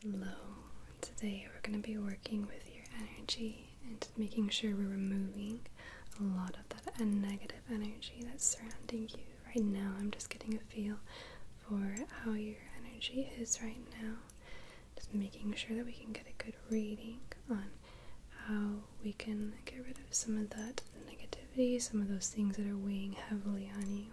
Hello, today we're going to be working with your energy and making sure we're removing a lot of that negative energy that's surrounding you right now. I'm just getting a feel for how your energy is right now, just making sure that we can get a good reading on how we can get rid of some of that negativity, some of those things that are weighing heavily on you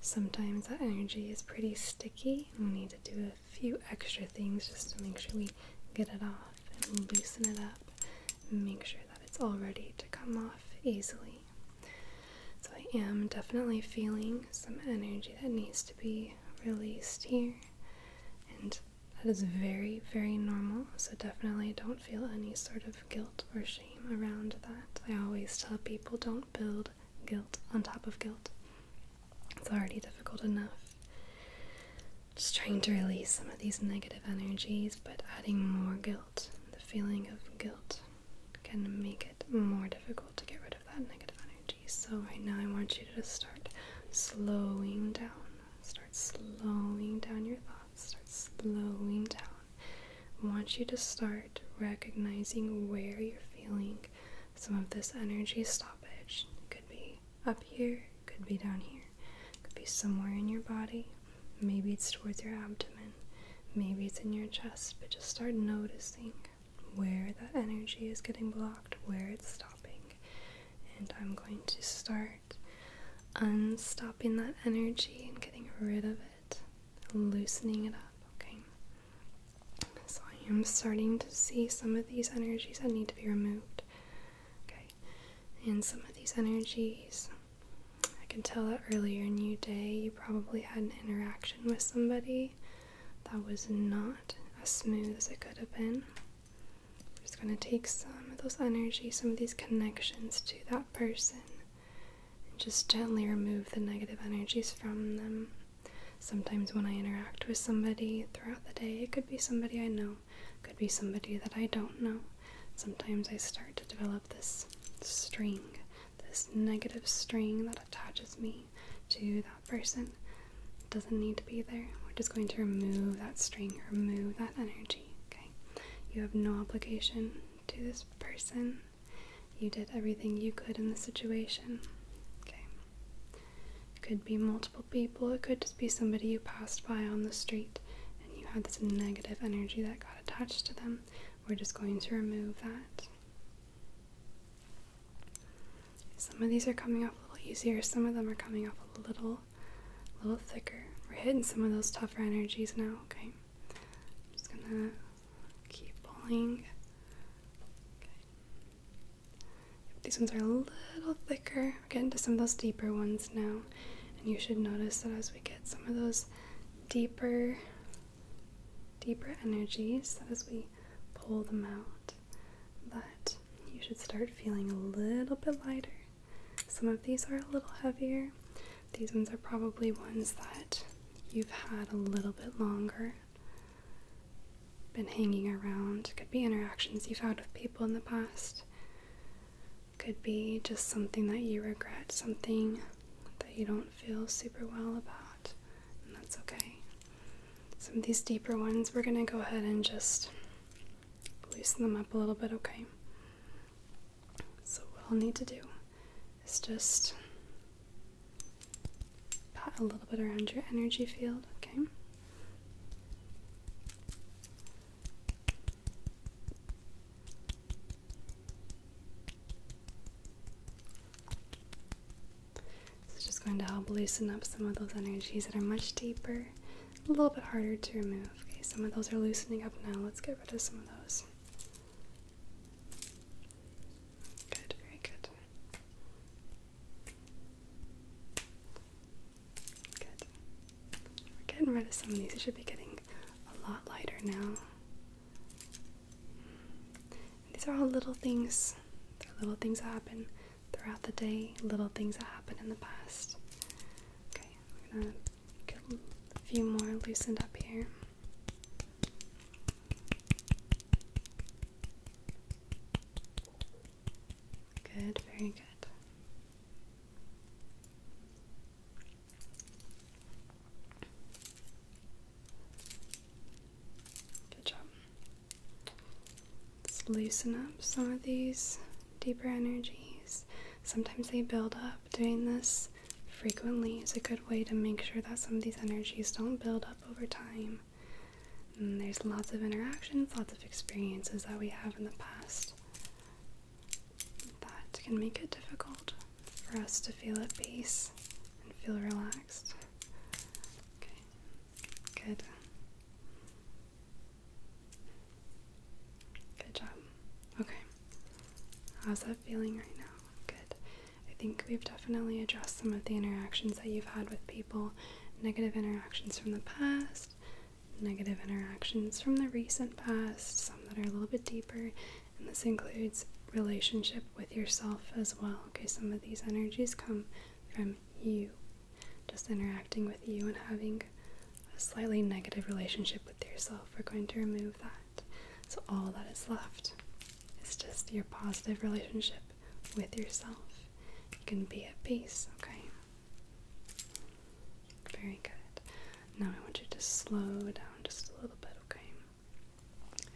sometimes that energy is pretty sticky. We need to do a few extra things just to make sure we get it off and loosen it up make sure that it's all ready to come off easily. So I am definitely feeling some energy that needs to be released here and that is very, very normal, so definitely don't feel any sort of guilt or shame around that. I always tell people don't build guilt on top of guilt. It's already difficult enough. Just trying to release some of these negative energies, but adding more guilt, the feeling of guilt, can make it more difficult to get rid of that negative energy. So, right now, I want you to start slowing down. Start slowing down your thoughts. Start slowing down want you to start recognizing where you're feeling some of this energy stoppage. It could be up here, could be down here, could be somewhere in your body. Maybe it's towards your abdomen, maybe it's in your chest, but just start noticing where that energy is getting blocked, where it's stopping. And I'm going to start unstopping that energy and getting rid of it loosening it up, okay? So I am starting to see some of these energies that need to be removed, okay? And some of these energies, I can tell that earlier in your day you probably had an interaction with somebody that was not as smooth as it could have been. I'm just going to take some of those energies, some of these connections to that person, just gently remove the negative energies from them. Sometimes when I interact with somebody throughout the day, it could be somebody I know, could be somebody that I don't know. Sometimes I start to develop this string, this negative string that attaches me to that person. doesn't need to be there. We're just going to remove that string, remove that energy, okay? You have no obligation to this person you did everything you could in the situation. Okay. could be multiple people, it could just be somebody you passed by on the street and you had this negative energy that got attached to them. We're just going to remove that. Some of these are coming off a little easier, some of them are coming off a little a little thicker. We're hitting some of those tougher energies now, okay? I'm just gonna keep pulling. these ones are a little thicker. We're getting to some of those deeper ones now. And you should notice that as we get some of those deeper, deeper energies, as we pull them out, that you should start feeling a little bit lighter. Some of these are a little heavier, these ones are probably ones that you've had a little bit longer, been hanging around. Could be interactions you've had with people in the past, could be just something that you regret, something that you don't feel super well about, and that's okay. Some of these deeper ones, we're going to go ahead and just loosen them up a little bit, okay? So, what I'll need to do is just pat a little bit around your energy field, okay? It's just going to help loosen up some of those energies that are much deeper, a little bit harder to remove. Okay, some of those are loosening up now. Let's get get rid of some of those. Good, very good. Good. We're getting rid of some of these. It should be getting a lot lighter now. these are all little things. little things that happen throughout the day, little things that happen in the past. Okay get a few more loosened up here. Good, very good. Good job. Let's loosen up some of these deeper energies. Sometimes they build up. Doing this frequently is a good way to make sure that some of these energies don't build up over time. there's lots of interactions, lots of experiences that we have in the past that can make it difficult for us to feel at peace and feel relaxed. Okay, good. Good job. Okay. How's that feeling right now? Good. I think we've definitely addressed some of the interactions that you've had with people negative interactions from the past, negative interactions from the recent past, some that are a little bit deeper, and this includes relationship with yourself as well. Okay, some of these energies come from you just interacting with you and having a slightly negative relationship with yourself, we're going to remove that. So all that is left is just your positive relationship with yourself. You can be at peace, okay? Very good. Now I want you to slow down just a little bit, okay?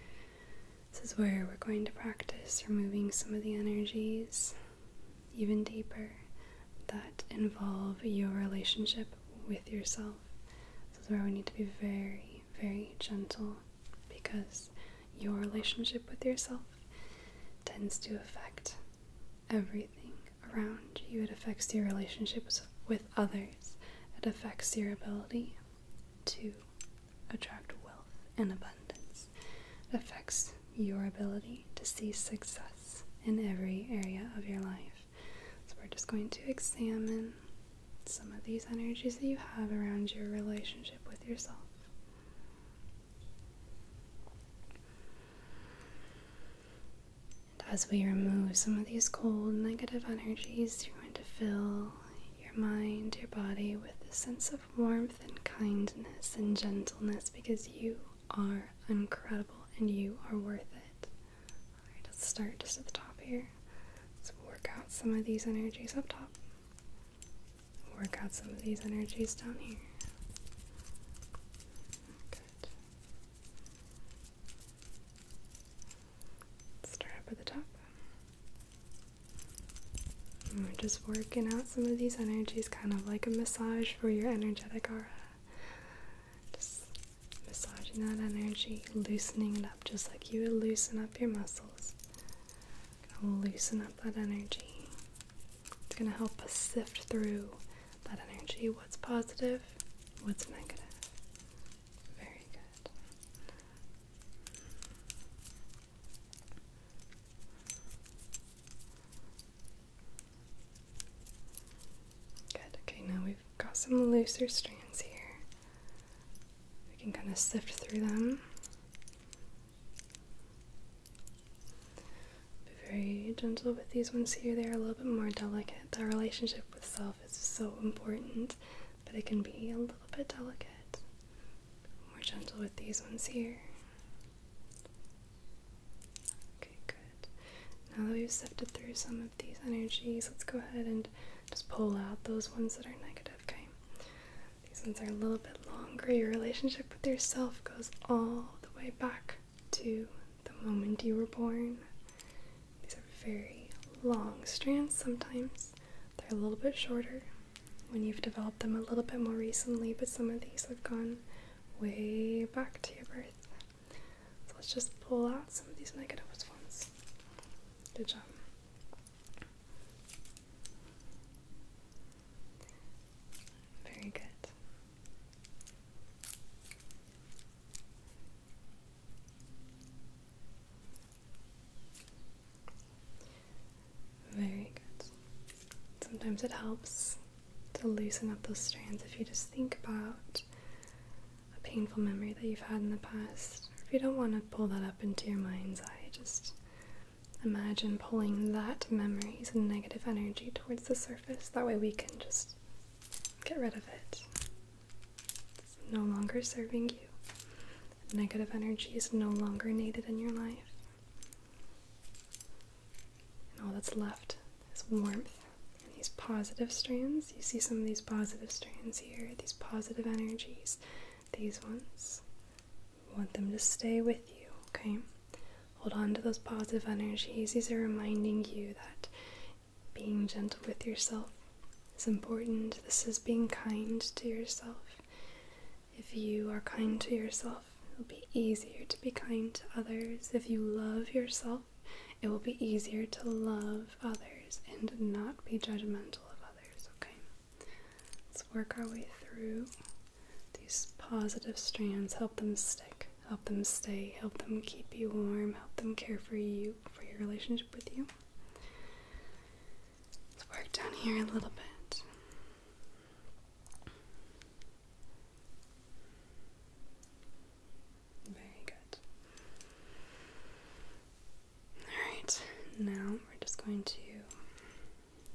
This is where we're going to practice removing some of the energies even deeper that involve your relationship with yourself. This is where we need to be very, very gentle because your relationship with yourself tends to affect everything around you. It affects your relationships with others, it affects your ability to attract wealth and abundance, it affects your ability to see success in every area of your life. So, we're just going to examine some of these energies that you have around your relationship with yourself. And as we remove some of these cold, negative energies, you're going to fill your mind, your body with a sense of warmth and kindness and gentleness because you are incredible and you are worth it. let's start just at the top here. Let's work out some of these energies up top. Work out some of these energies down here. Good. Start up at the top. we're just working out some of these energies, kind of like a massage for your energetic aura. Just massaging that energy, loosening it up just like you would loosen up your muscles. Gonna loosen up that energy. It's gonna help us sift through that energy. What's positive? What's negative? Very good. Good, okay, now we've got some looser strands here. We can kind of sift through them. Be very gentle with these ones here, they're a little bit more delicate. Our relationship with self is so important, but it can be a little bit delicate. More gentle with these ones here. Okay, good. Now that we've sifted through some of these energies, let's go ahead and just pull out those ones that are negative, okay? These ones are a little bit longer. Your relationship with yourself goes all the way back to the moment you were born. These are very long strands sometimes, they're a little bit shorter when you've developed them a little bit more recently, but some of these have gone way back to your birth. So let's just pull out some of these negative ones. Good job. Very good. Very good. Sometimes it helps to loosen up those strands if you just think about a painful memory that you've had in the past. If you don't want to pull that up into your mind's eye, just imagine pulling that memories and negative energy towards the surface. That way we can just get rid of it. no longer serving you. Negative energy is no longer needed in your life. And all that's left is warmth and these positive strands. You see some of these positive strands here, these positive energies, these ones. want them to stay with you, okay? Hold on to those positive energies. These are reminding you that being gentle with yourself is important. This is being kind to yourself. If you are kind to yourself, it will be easier to be kind to others. If you love yourself, it will be easier to love others and not be judgmental of others, okay? Let's work our way through these positive strands. Help them stick, help them stay, help them keep you warm, help them care for you, for your relationship with you. Let's work down here a little bit. Very good. Alright, now we're just going to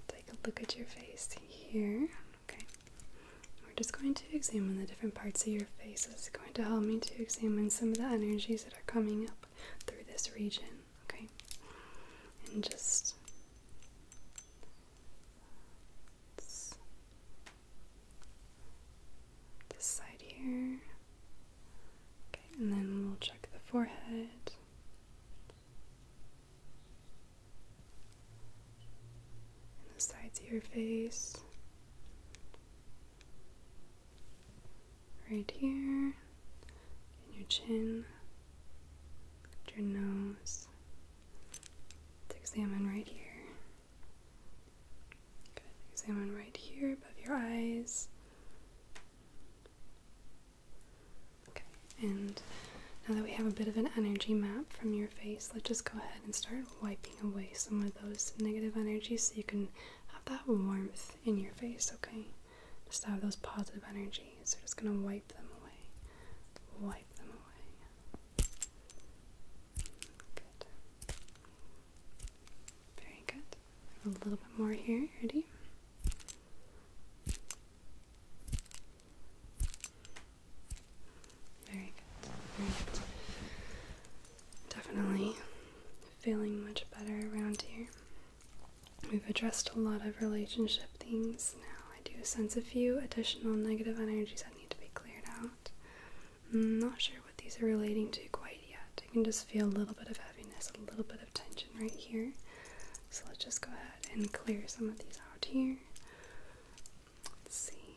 take a look at your face here. Okay. We're just going to examine the different parts of your face. It's going to help me to examine some of the energies that are coming up through this region, okay? And just this side here. Okay, and then we'll check the forehead. And the sides of your face right here, and your chin, your nose. examine right here. Good. Examine right here above your eyes. Okay, and now that we have a bit of an energy map from your face, let's just go ahead and start wiping away some of those negative energies so you can have that warmth in your face, okay? just have those positive energies. we are just going to wipe them away. Wipe them away. Very good. A little bit more here. Ready? Very good. Definitely feeling much better around here. We've addressed a lot of relationship things now. I do sense a few additional negative energies that need to be cleared out. I'm mm, not sure what these are relating to quite yet. I can just feel a little bit of heaviness, a little bit of tension right here. So let's just go ahead and clear some of these out here. Let's see.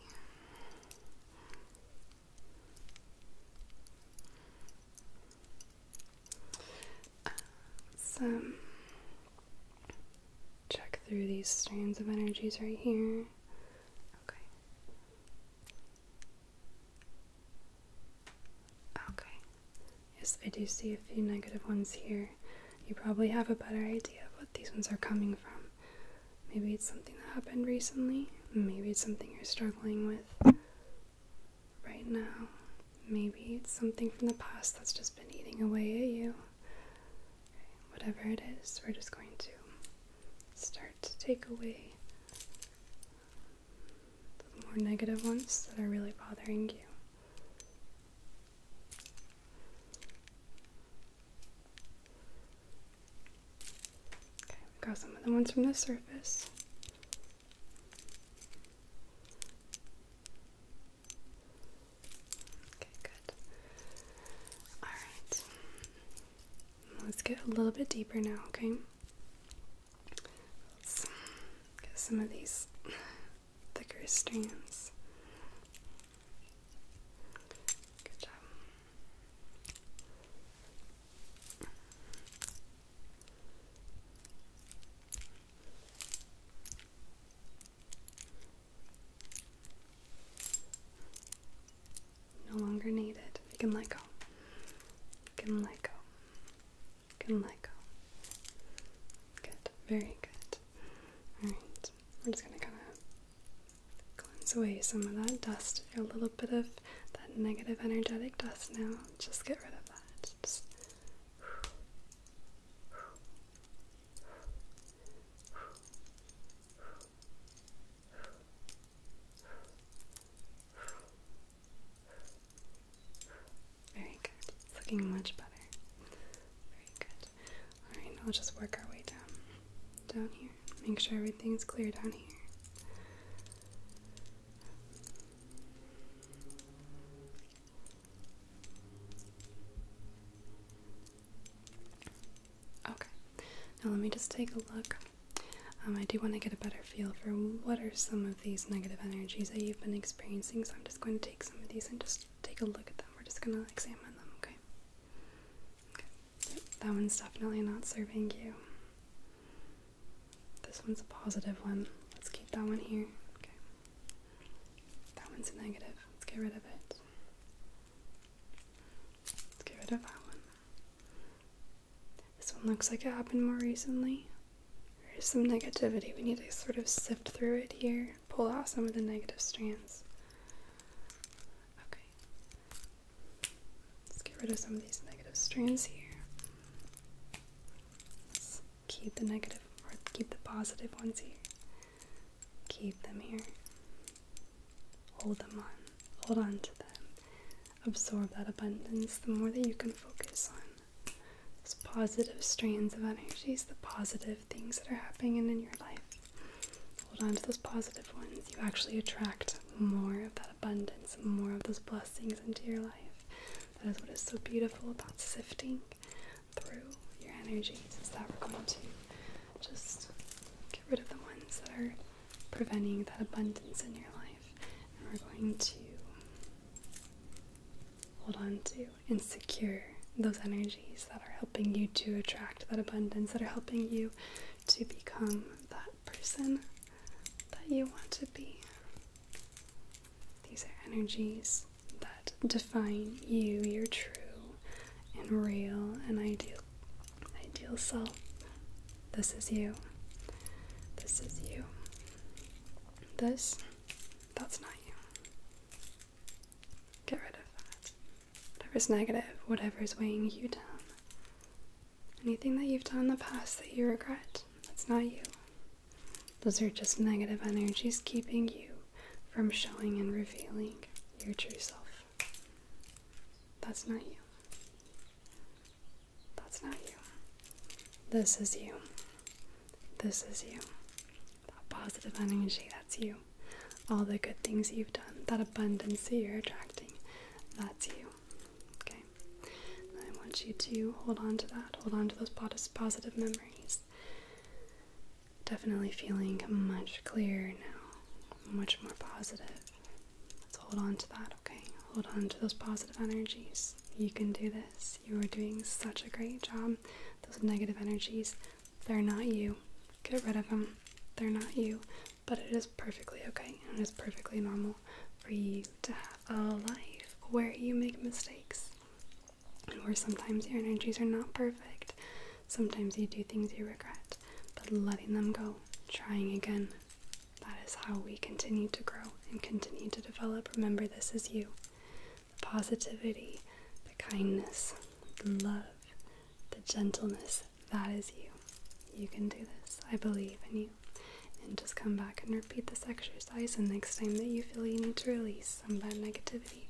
So, check through these strands of energies right here. Okay. Okay. Yes, I do see a few negative ones here. You probably have a better idea of what these ones are coming from. Maybe it's something that happened recently. Maybe it's something you're struggling with right now. Maybe it's something from the past that's just been eating away at you. whatever it is, we're just going to start to take away the more negative ones that are really bothering you. Okay, we've got some of the ones from the surface. Okay, good. Alright. Let's get a little bit deeper now, okay? get some of these thicker strands. Good job. No longer needed. You can let go. You can let go. can let go. Good. Very good. Alright. I'm just gonna kinda Cleanse away some of that dust, a little bit of that negative energetic dust now. Just get rid of that. very good. looking much better. Very good. Alright, now will just work our way down down here. Make sure everything's clear down here. Okay, now let me just take a look. Um, I do want to get a better feel for what are some of these negative energies that you've been experiencing, so I'm just going to take some of these and just take a look at them. We're just going to examine them, okay? that one's definitely not serving you. This one's a positive one. Let's keep that one here. That one's a negative. Let's get rid of it. Let's get rid of that one. This one looks like it happened more recently. There's some negativity. We need to sort of sift through it here, pull out some of the negative strands. Okay. Let's get rid of some of these negative strands here. keep the negative or keep the positive ones here. Keep them here. Hold them on. Hold on to them. Absorb that abundance. The more that you can focus on those positive strands of energies, the positive things that are happening in your life. Hold on to those positive ones. You actually attract more of that abundance, more of those blessings into your life. That is what is so beautiful about sifting through your energies is that we're going to just get rid of the ones that are preventing that abundance in your life. And we're going to hold on to and secure those energies that are helping you to attract that abundance, that are helping you to become that person that you want to be. These are energies that define you, your true and real and ideal ideal self. This is you. This is you. This that's not you. Get rid of that. Whatever's negative, whatever is weighing you down. Anything that you've done in the past that you regret, that's not you. Those are just negative energies keeping you from showing and revealing your true self. That's not you. That's not you. This is you. This is you. That positive energy, that's you. All the good things you've done, that abundance that you're attracting, that's you. Okay? I want you to hold on to that, hold on to those positive memories. Definitely feeling much clearer now, much more positive. Let's hold on to that, okay? Hold on to those positive energies. You can do this. You are doing such a great job. Those negative energies, they're not you. Get rid of them. They're not you. But it is perfectly okay and it is perfectly normal for you to have a life where you make mistakes and where sometimes your energies are not perfect. Sometimes you do things you regret, but letting them go, trying again, that is how we continue to grow and continue to develop. Remember, this is you the positivity, the kindness, the love, the gentleness. That is you. You can do this. I believe in you. And just come back and repeat this exercise. And next time that you feel you need to release some bad negativity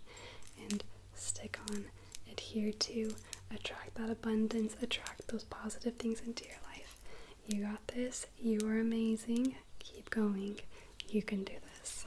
and stick on, adhere to, attract that abundance, attract those positive things into your life. You got this. You are amazing. Keep going. You can do this.